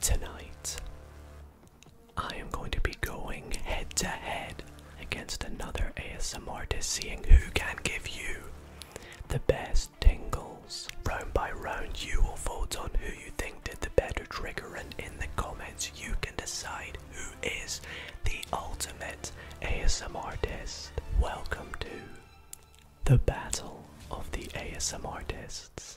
Tonight, I am going to be going head to head against another ASM artist, seeing who can give you the best tingles. Round by round, you will vote on who you think did the better trigger, and in the comments, you can decide who is the ultimate ASM artist. Welcome to the Battle of the ASM Artists.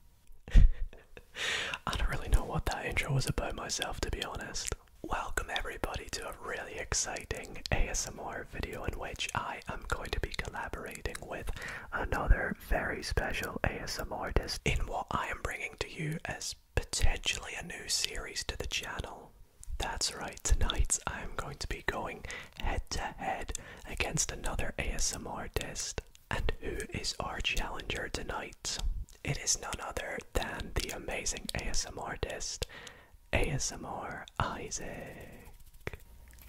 I don't really know what that intro was about myself, to be honest. Welcome, everybody, to a really exciting ASMR video in which I am going to be collaborating with another very special ASMR artist in what I am bringing to you as potentially a new series to the channel. That's right, tonight I'm going to be going head to head against another ASMR artist. And who is our challenger tonight? It is none other than the amazing ASMR artist, ASMR Isaac.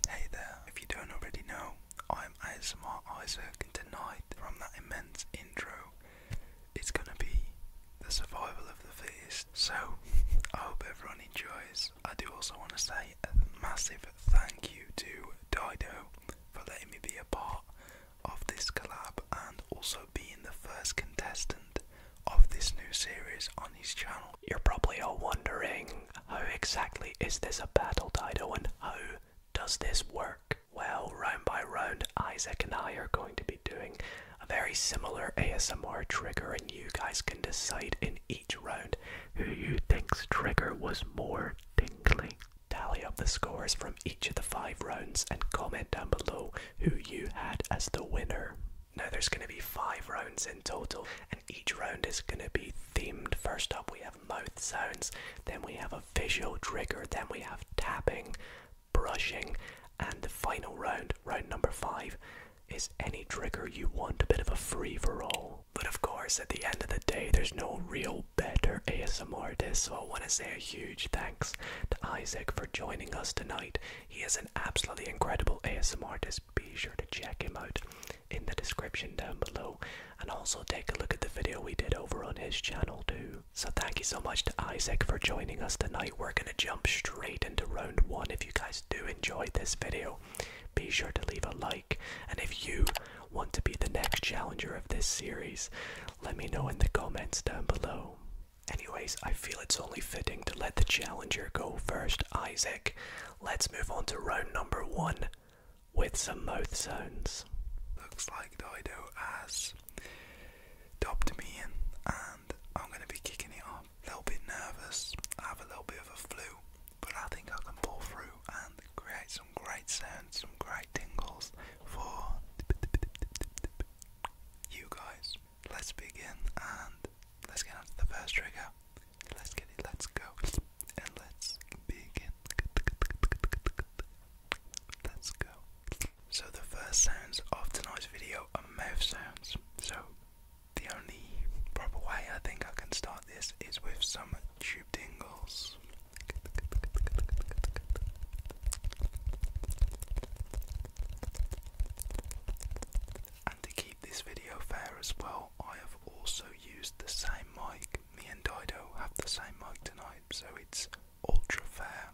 Hey there, if you don't already know, I'm ASMR Isaac, tonight, from that immense intro, it's gonna be the survival of the fittest. So, I hope everyone enjoys. I do also want to say a massive thank you to Dido for letting me be a part of this collab and also being the first contestant of this new series on his channel. You're probably all wondering how exactly is this a battle, Dido, and how does this work? Well, round by round, Isaac and I are going to be doing a very similar ASMR trigger, and you guys can decide in each round who you think's trigger was more tingly? Tally up the scores from each of the five rounds and comment down below who you had as the winner. Now there's going to be five rounds in total, and each round is going to be themed. First up, we have mouth sounds, then we have a visual trigger, then we have tapping, brushing, and the final round, round number five, is any trigger you want, a bit of a free for all. But of course, at the end of the day, there's no real better ASMR artist, so I want to say a huge thanks to Isaac for joining us tonight. He is an absolutely incredible ASMR artist. Be sure to check him out in the description down below and also take a look at the video we did over on his channel too. So thank you so much to Isaac for joining us tonight. We're going to jump straight into round one. If you guys do enjoy this video, be sure to leave a like and if you want to be the next challenger of this series, let me know in the comments down below. Anyways, I feel it's only fitting to let the challenger go first, Isaac. Let's move on to round number one with some mouth sounds. Looks like Dido has dubbed me in, and I'm going to be kicking it off. A little bit nervous, have a little bit of a flu, but I think I can pull through and create some great sounds, some great tingles for you guys. Let's begin and let's get on the first trigger. Let's get it, let's go, and let's begin. Let's go. So, the first sounds of tonight's video are mouth sounds. So, the only proper way I think I can start this is with some tube dingles. And to keep this video fair as well, I have also used the same mic. Me and Dido have the same mic tonight, so it's ultra fair.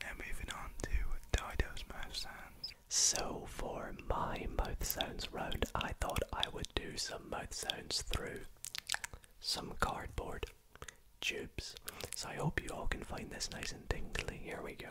Now moving on to Dido's mouth sounds. So for my mouth sounds round, I thought I would do some mouth sounds through some cardboard tubes. So I hope you all can find this nice and tingly. Here we go.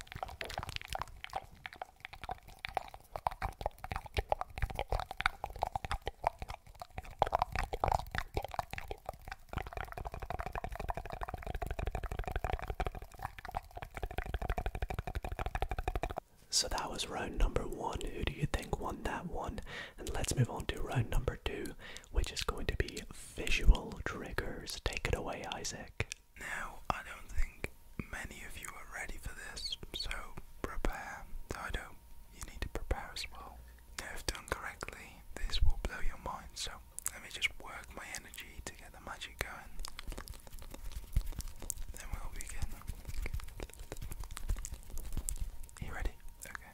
So that was round number one. Who do you think won that one? And let's move on to round number two, which is going to be visual triggers. Take it away, Isaac. Now, I don't think many of you are ready for this, so prepare. I don't. You need to prepare as well. if done correctly, this will blow your mind, so let me just work my energy to get the magic going. Then we'll begin. you ready? Okay.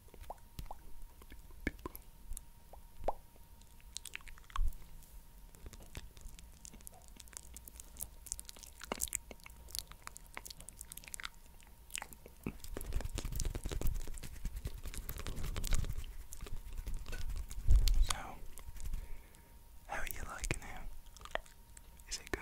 So, how you liking him? Is it good?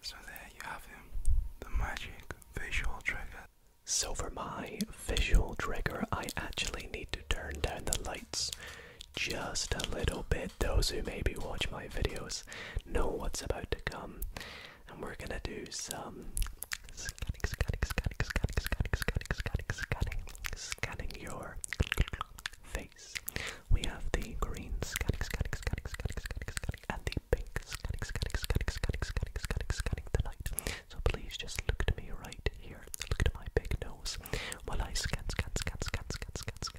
So there you have him, the magic visual trigger. So for my visual trigger, I actually need to turn down the lights just a little bit. Those who maybe watch my videos know what's about to come, and we're gonna do some scanning, scanning, scanning, scanning, scanning, scanning, scanning, scanning, scanning your face. We have the green scanning, scanning, scanning, scanning, scanning, scanning, and the pink scanning, scanning, scanning, scanning, scanning, scanning, scanning tonight. So please just look to me right here. Look at my big nose while I scan, scan, scan, scan, scan, scan, scan,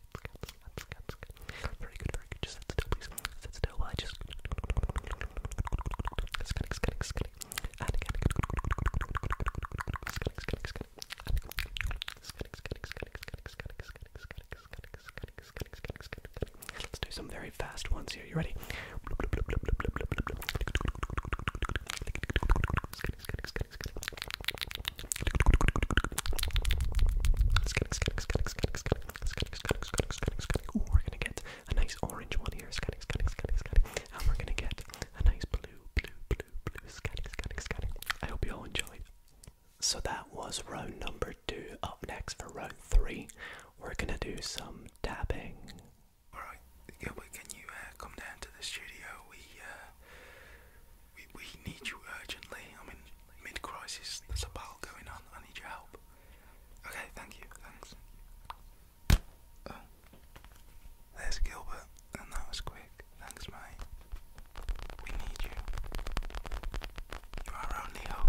very good, very good. Just sit still, please. Sit still while I just. Scanning, scanning, scanning. And again. Scanning, scanning, scanning. And scanning, scanning, scanning, scanning, scanning, scanning, scanning, scanning, scanning, scanning, scanning, scanning. Let's do some very fast ones here. You ready? Scanning, scanning, scanning. Scanning, scanning, scanning we're gonna get a nice orange one here, And we're gonna get a nice blue, blue, blue, blue, I hope you all enjoyed. So that was row number two. Up next for row three, we're gonna do some tapping. Alright, Gilbert, can you come down to the studio? We we, need you urgently. I am in mid crisis, there's a battle going on. I need your help. Okay, thank you. Thanks. Oh. there's Gilbert, and that was quick. Thanks, mate. We need you. You're our only hope.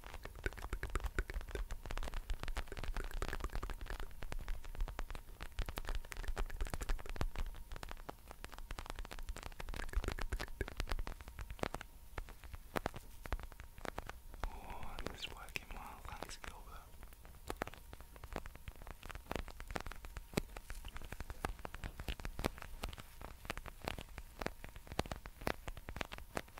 Oh, this is working well, thanks Gilbert. Thank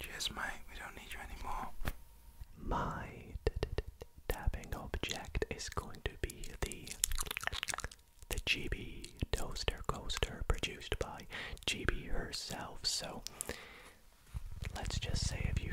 Cheers, mate. We don't need you anymore. My tapping object is going to be the the GB toaster coaster produced by GB herself. So let's just say if you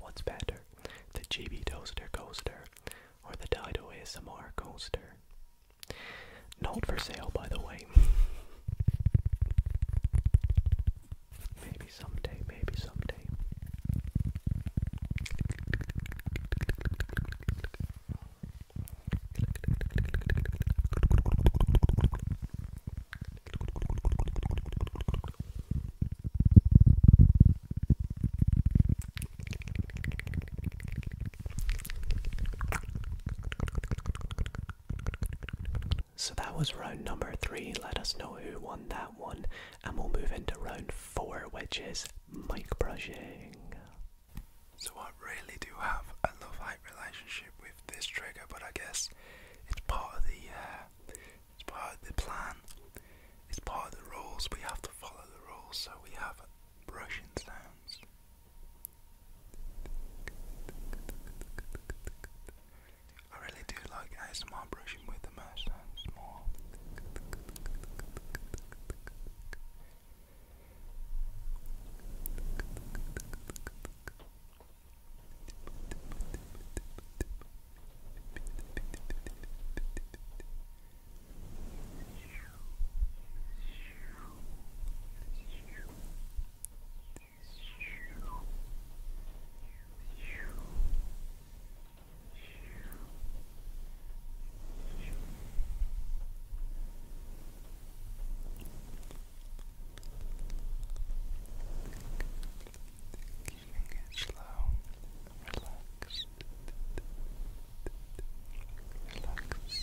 What's better, the GB Toaster Coaster or the Dido ASMR Coaster? Not for sale, by the way. Maybe someday, maybe someday. So that was round number three. Let us know who won that one, and we'll move into round four, which is mic brushing. So I really do have a love-hate relationship with this trigger, but I guess it's part of the uh, it's part of the plan. It's part of the rules. We have to follow the rules, so we have brushing sounds. I really do like ASMR brushing with the mouse more. Tip, tip, tip, tip, tip, Keeping it slow, relaxed, relaxed. Relax. Relax.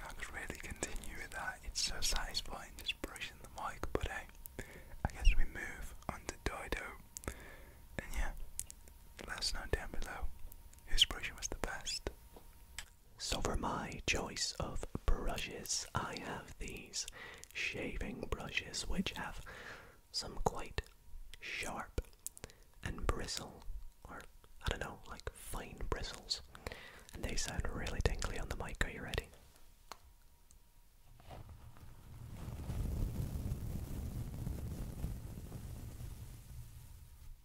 Max really continue with that. It's so satisfying just brushing the mic, but hey, I guess we move on to Dido. And yeah, let us know down below whose brushing was the best. So for my choice of brushes, I have these shaving brushes which have some quite sharp and bristle, or I don't know, like fine bristles. And they sound really tingly on the mic. Are you ready?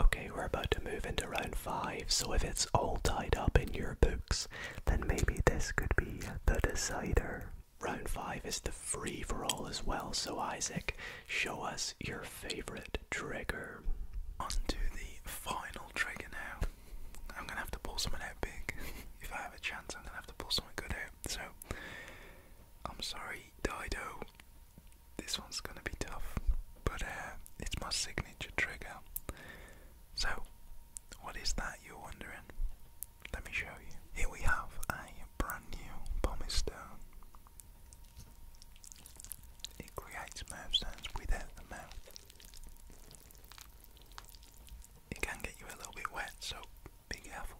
Okay, we're about to move into round five, so if it's all tied up in your books, then maybe this could be the decider. Round five is the free for all as well. So, Isaac, show us your favorite trigger. On the final trigger now. I'm gonna have to pull something out if I have a chance, I'm gonna have to pull something good out. So, I'm sorry, Dido. This one's gonna be tough, but uh, it's my signature trigger. So, what is that you're wondering? Let me show you. Here we have a brand new pumice It creates mouth sounds without the mouth. It can get you a little bit wet, so be careful.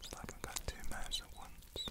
It's like I've got two mouths at once.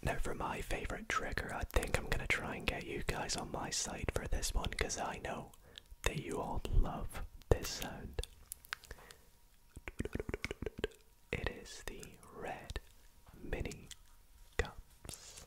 Now, for my favorite trigger, I think I'm gonna try and get you guys on my side for this one because I know that you all love this sound. It is the red mini cups.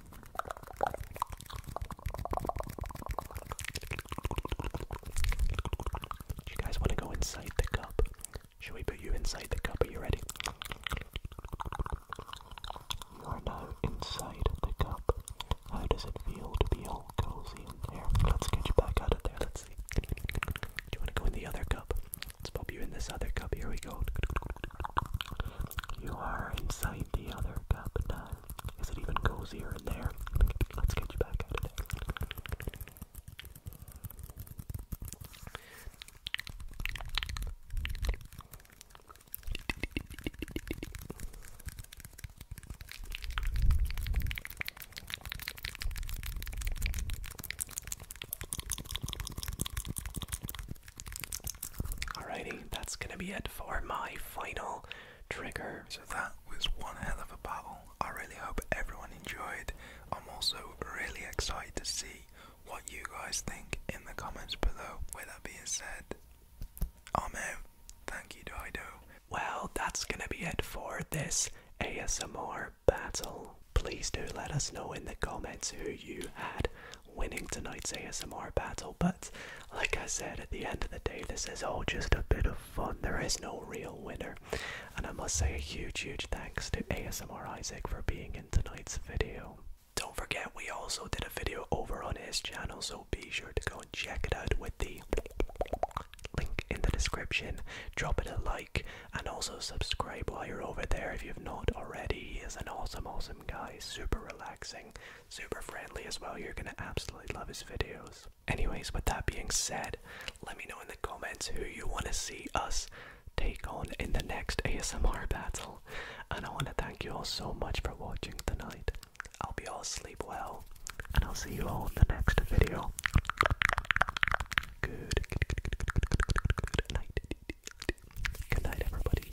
Do you guys want to go inside the cup? Should we put you inside the cup? Are you ready? You are now inside the cup. How does it feel to be all cozy in there? Let's get you back out of there. Let's see. Do you want to go in the other cup? Let's pop you in this other cup. Here we go. You are inside the other cup now. Is it even cozier in there? Let's get you back out of there. Alrighty, that's gonna be it for my final trigger. So that was one hell of a battle. I really hope everyone enjoyed. I'm also really excited to see what you guys think in the comments below. With that being said, I'm out. Thank you, Dido. Well, that's gonna be it for this ASMR battle. Please do let us know in the comments who you had winning tonight's ASMR battle, but like I said, at the end of the day, this is all just a bit of fun. There is no real winner. And I must say a huge, huge thanks to ASMR Isaac for being in tonight's video. Don't forget, we also did a video over on his channel, so be sure to go and check it out with the link in the description. Drop it a like and also subscribe while you're over there if you've not already. He is an awesome, awesome guy, super relaxing, super friendly as well. You're gonna absolutely love his videos. Anyways, with that being said, let me know in the comments who you want to see us take on in the next ASMR battle. And I want to thank you all so much for watching tonight. I'll be all sleep well, and I'll see you all in the next video. good night. Good night, everybody.